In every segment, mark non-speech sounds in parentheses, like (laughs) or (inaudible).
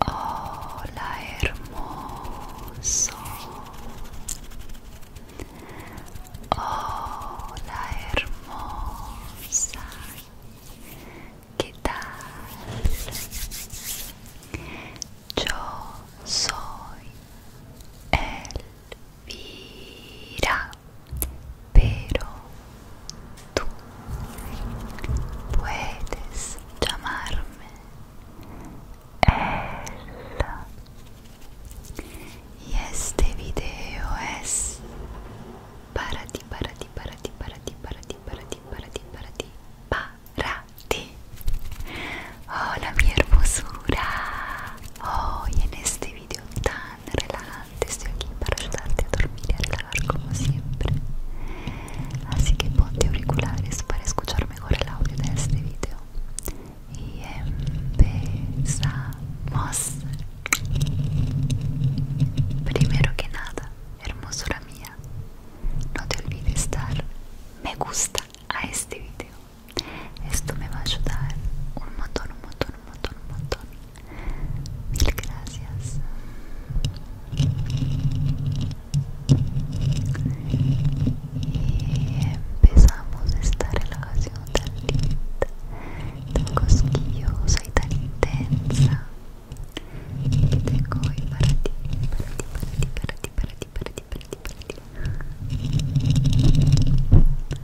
Hola hermoso. Hola hermosa. ¿Qué tal? Yo soy él. Vira pero tú puedes llamarme Ella Y este video es para ti, para ti, para ti, para ti, para ti, para ti, para ti, para ti, para ti. Hola mi hermosura. Hoy en este video tan relajante estoy aquí para ayudarte a dormir y a relajar como siempre así que ponte auriculares para escuchar mejor el audio de este video y empezamos primero que nada hermosura mía no te olvides dar me gusta a este video esto me va a ayudar un montón, un montón, un montón, un montón. Mil gracias. Y empezamos esta relajación tan linda, tan cosquillosa y tan intensa que tengo hoy para ti, para ti, para ti, para ti, para ti, para ti.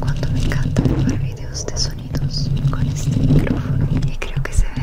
Cuando me encanta ver videos de con este micrófono y creo que se ve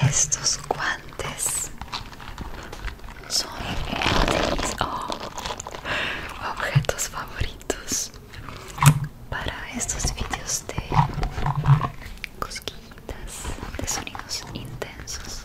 Estos guantes son mis oh, objetos favoritos para estos vídeos de cosquillas de sonidos intensos.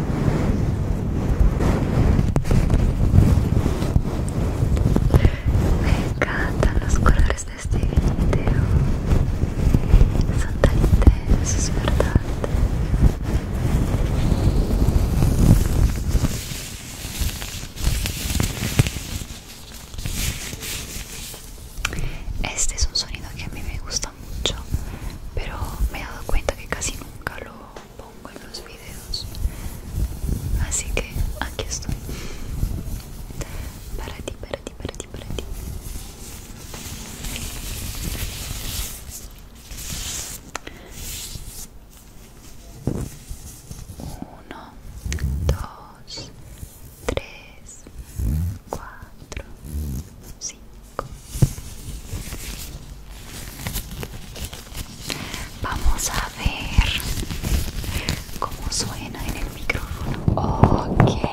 Me encantan los colores de este video. Son tan intensos, ¿verdad? Este es un sonido que a mí me gusta mucho pero me he dado cuenta que casi nunca lo pongo en los videos así que aquí estoy para ti para ti para ti para ti uno dos tres cuatro Cinco vamos a ver cómo suena en el micrófono ok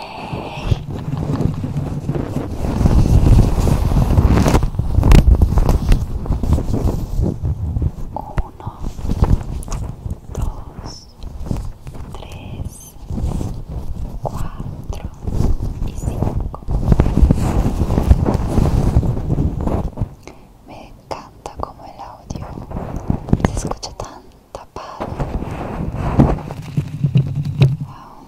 uno dos tres 4 y 5. Me encanta como el audio se escucha tan tapado. Wow.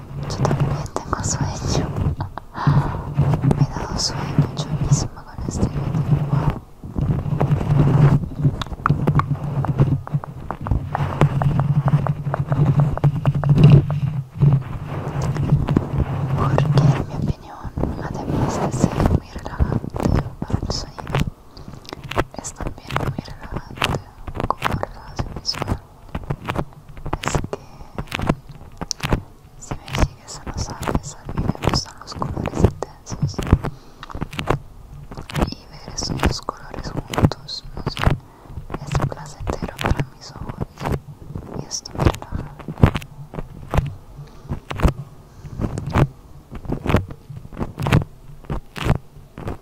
Yo también tengo sueño. (laughs) Me he dado sueño yo misma con este video. Porque en mi opinión, además de ser muy relajante para el sueño, es también muy relajante como su visual es que si me sigues en los aves, a mí me gustan los colores intensos y ver esos dos colores juntos no sé, es placentero para mis ojos y esto me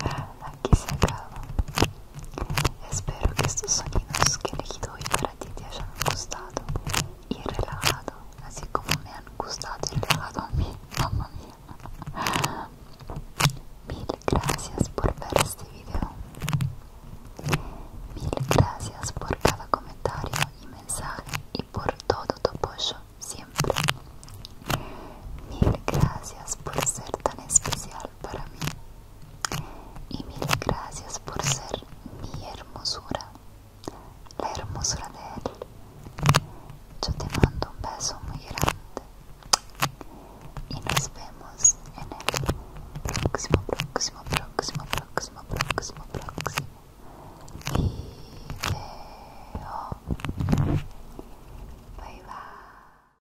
Aquí se acaba. Espero que estos sonidos que he elegido hoy para ti te hayan gustado y relajado, así como me han gustado y relajado a mí, (laughs) mamá mía. Mil gracias por ver este video. Mil gracias por cada comentario y mensaje y por todo tu apoyo siempre. Mil gracias por ser tan especial para mí. Y mil gracias por ser mi hermosura, la hermosura de él. Yo te mando un beso muy grande y nos vemos en el próximo, próximo, próximo, próximo, próximo, próximo video. Bye bye.